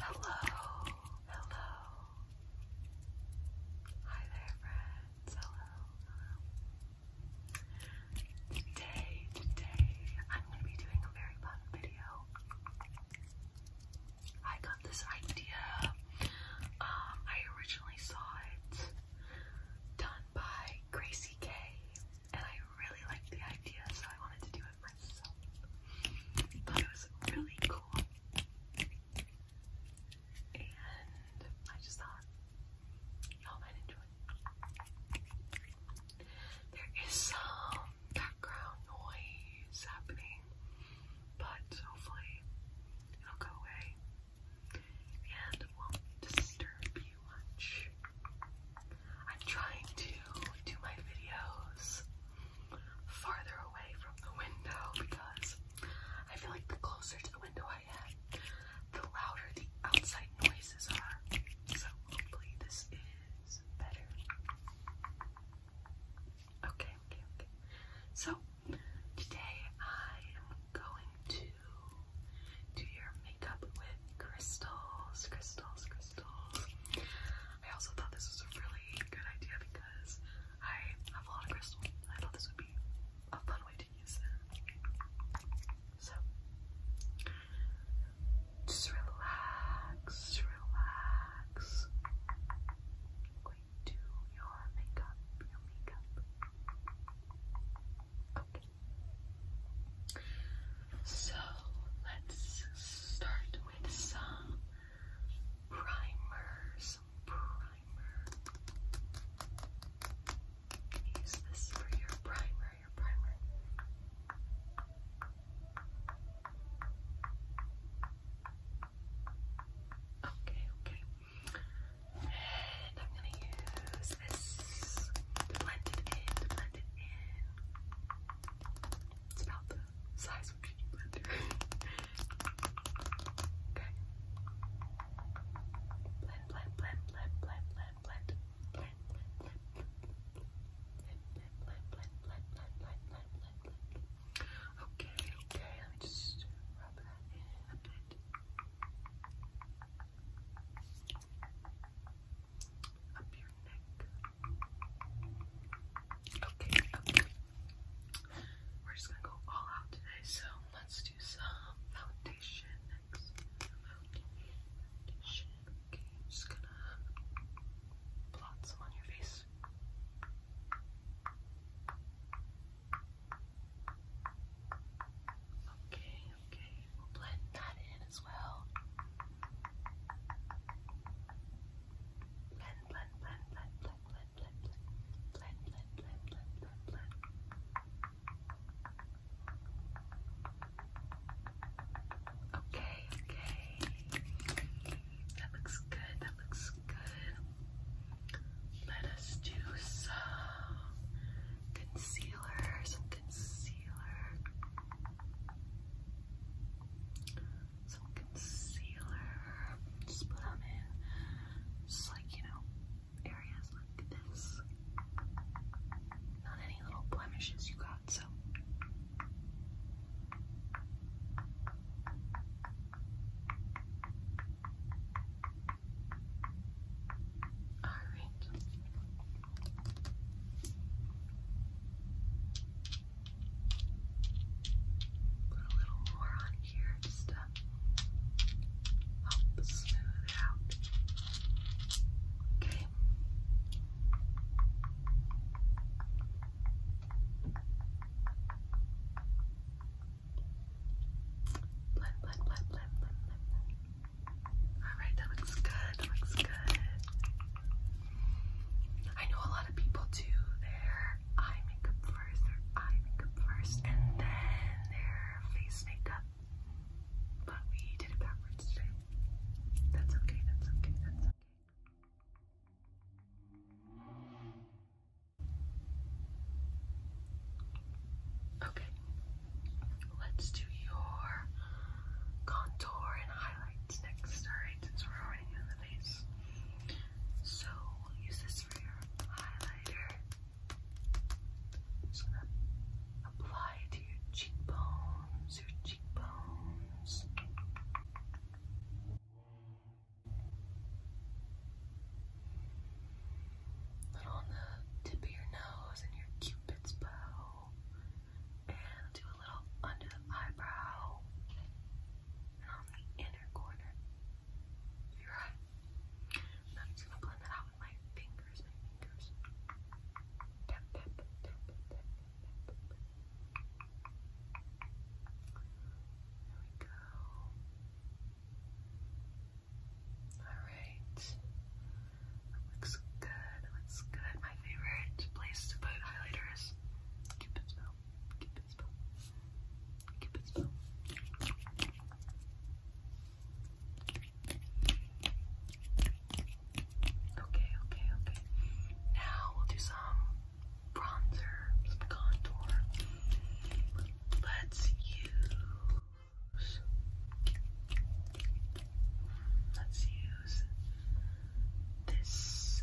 Hello, hello. Hi there, friends. Hello, hello. Today, today, I'm going to be doing a very fun video. I got this idea. Um, I originally saw it done by Gracie K, and I really liked the idea, so I wanted to do it it myself. Thought it was really cool. And I just thought y'all might enjoy it. There is some background noise happening, but hopefully it'll go away and won't disturb you much. I'm trying to do my videos farther away from the window because I feel like the closer to the window I am, the louder the outside noises are. So hopefully this is better. okay. So today I am going to do your makeup with crystals, crystals, crystals. I also thought this was a really good idea because I have a lot of crystals. I thought this would be a fun way to use them. So just relax, relax. Going your makeup, your makeup. Okay. So let's start with some primers. Some primer. use this for your primer, your primer. Okay, okay. And I'm gonna use this blend it in, blend it in. It's about the size of a beauty blender. okay. Blend, blend, blend, blend, blend, blend, blend, blend, blend, blend, blend, blend, blend, blend, blend, blend, Okay, okay, let me just rub that in a bit. Okay, We're just gonna go all out today, so let's do some foundation next. just gonna blot some on your face. Okay, okay. We'll blend that in as well. blend, blend, blend, blend, blend, blend, blend, blend, blend, blend, blend, blend. Okay, okay. That looks good. That looks good. Let us do some concealer concealer, some concealer, some concealer. Just put in, just like you know, areas like this. Not any little blemishes you got, so. All right. Put a little more on here just to help smooth it out. Um, okay. Blend, blend, blend, blend, blend, blend. Alright, that looks good. That looks good. I know a lot of people do their eye makeup first, their eye makeup first, and then their face makeup. But we did it backwards today. That's okay, that's okay, that's okay. Okay, Let's do your contour and highlights next, alright, since we're already in the base, So we'll use this for your highlighter. I'm just gonna apply it to your cheekbones, your cheekbones little on the tip of your nose and your cupid's bow. And I'll do a little under the eyebrow and on the inner corner of your eye. And I'm just gonna blend that out with my fingers, my fingers. Tap, tap, tap, tap, tap, tap, tap. There we go. Alright. That looks good. That looks good. My favorite place to put highlighter is Cupid's bow. Cupid's bow. Cupid's bow. Okay, okay, okay. Now we'll do some bronzer, some contour. Let's use Let's use this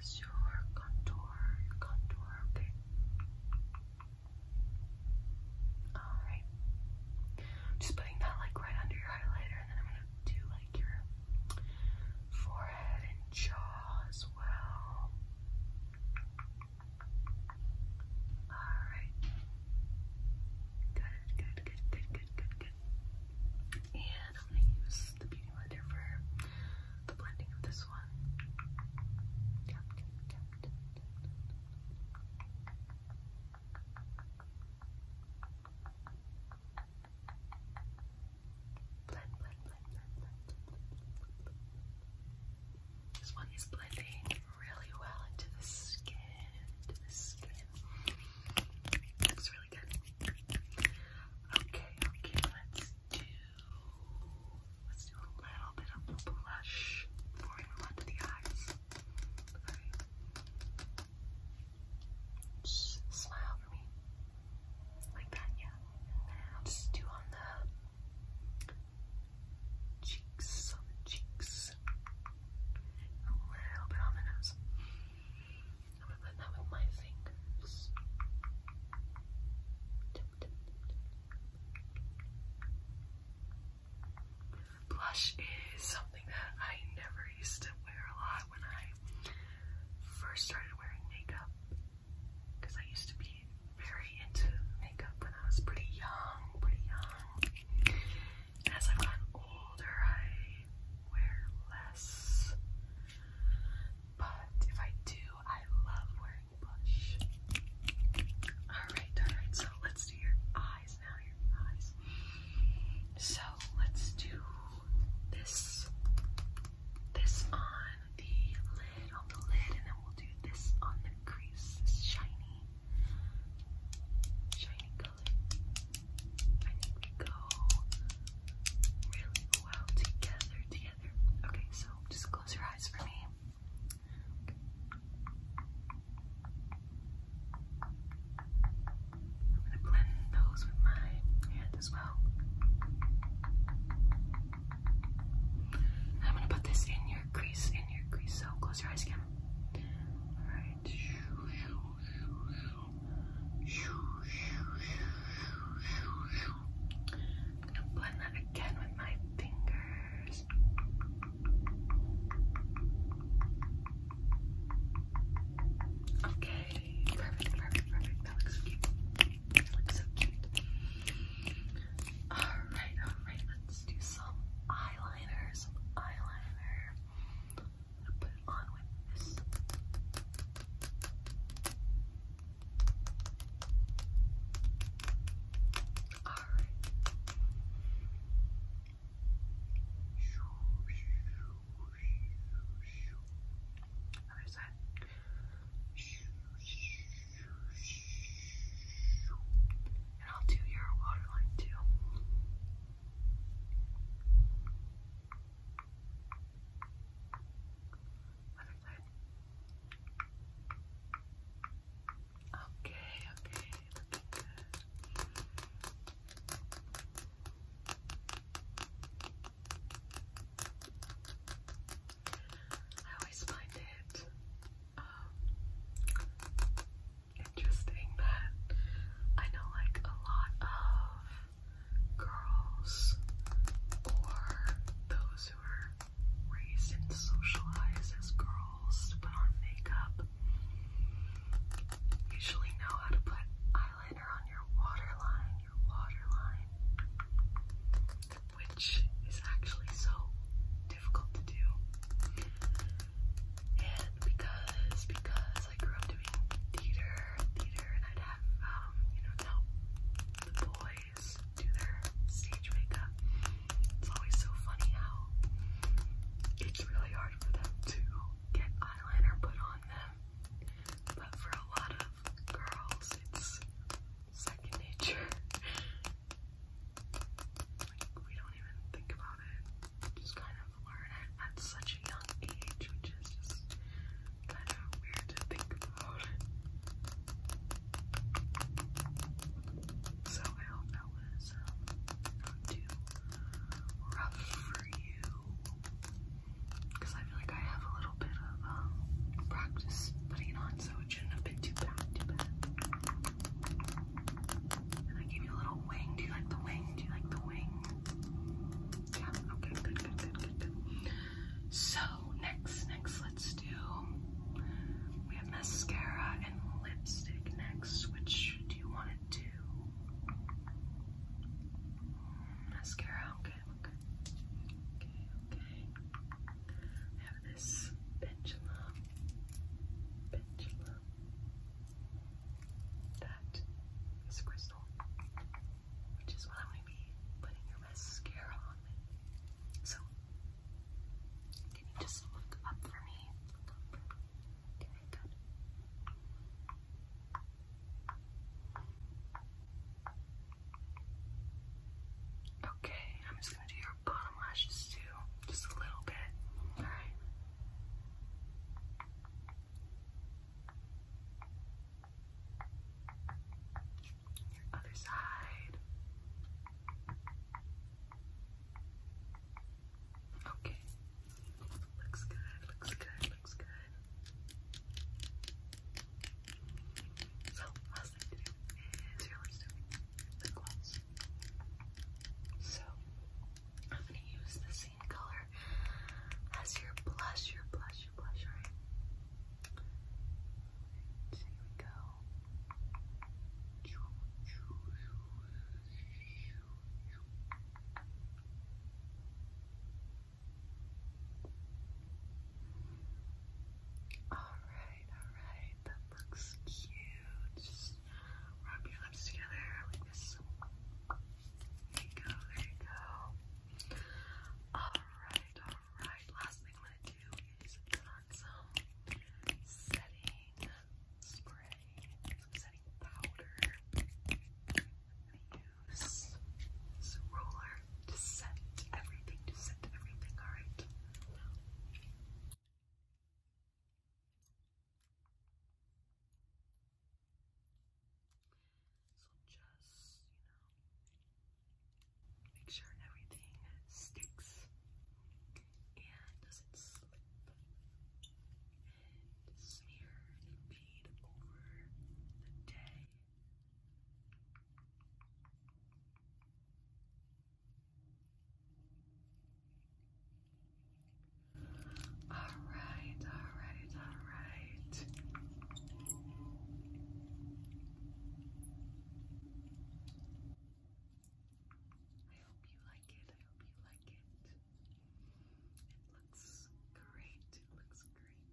as your contour, contour, okay? Alright. Just putting that like right under your highlighter and then I'm gonna do like your forehead and jaw as well. Alright. Good, good, good, good, good, good, good. And I'm gonna use the beauty blender for the blending of this one. blend, blend, blend, blend, blend, blend this one is blending really well into the skin, into the skin. Looks really good. Okay, okay, let's do let's do a little bit of blush before the eyes. smile for me. Like that, yeah. And then do on the cheeks, on the cheeks, a little bit on the nose. I'm gonna blend that with my fingers. Blush is something that I never used to wear a lot when I first started wearing makeup because I used to be very into makeup when I was pretty young, pretty young. As I've gotten older, I wear less. But if I do, I love wearing blush. Alright, alright, so let's do your eyes now, your eyes. So let's do this this on the lid, on the lid, and then we'll do this on the crease, this shiny, shiny color. I think we go really well together, together. Okay, so just close your eyes for me. I'm gonna blend those with my hand as well. I'm gonna put this in your crease, in your crease. So close your eyes again. Alright. I'm gonna blend that again with my fingers. Okay, perfect, perfect, perfect. That looks cute. It looks so cute. All right, all right. Let's do some eyeliner. Some eyeliner. I'm gonna put it on with this. All right. Other side. And I'll do your waterline too. Other side. Okay, okay, looking good. I always find it um, interesting that I know like a lot of girls or those who are raised and socialized as girls to put on makeup usually know how to put eyeliner on your waterline your waterline, which is actually so difficult to do. And because because I grew up doing theater, theater, and I'd have um, you know, to help the boys do their stage makeup. It's always so funny how it's really hard for them to get eyeliner put on them but for a lot of girls, it's second nature. we don't even think about it. Just kind of learn it at such a young age, which is just kind of weird to think about. So I hope that was um, not too rough for you because I feel like I have a little bit of um, practice putting on, so it shouldn't have been too bad, too bad. And I gave you a little wing. Do you like the wing? Do you like the wing? Yeah. Okay. Good. Good. Good. Good. So next, next, let's do. We have mascara and lipstick next. Which do you want to do? mascara. Okay, okay, okay, okay. I have this pendulum, pendulum. That is crystal, which is what I'm going to be putting your mascara on with. So, can you just look up for me? Look up for me. Okay, Okay, I'm just gonna do your bottom lashes too, just a little bit. All right. other side. Okay. Looks good, looks good, looks good. So, last thing to do is your lipstick, lip gloss. So, I'm gonna use the same color as your blush, your blush, your blush, alright? here we go. Alright, alright, that looks cute. Just rub your lips together like this. There you go, there you go. Alright, alright. Last thing I'm gonna do is put on some setting spray, setting powder. I use this roller to set everything, to set everything, alright? So just, you know, make sure everything sticks and doesn't slip and smear and fade over the day. All right, all right, all right. I hope you like it. I hope you like it. It looks great. It looks great.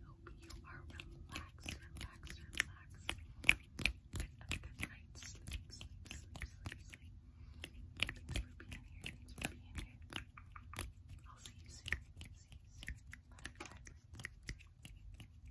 I hope you are relaxed, relaxed, relaxed. And a good night's sleep, sleep, sleep, sleep, sleep. Thanks for being here. Thanks for being here. I'll See you soon. Bye, bye.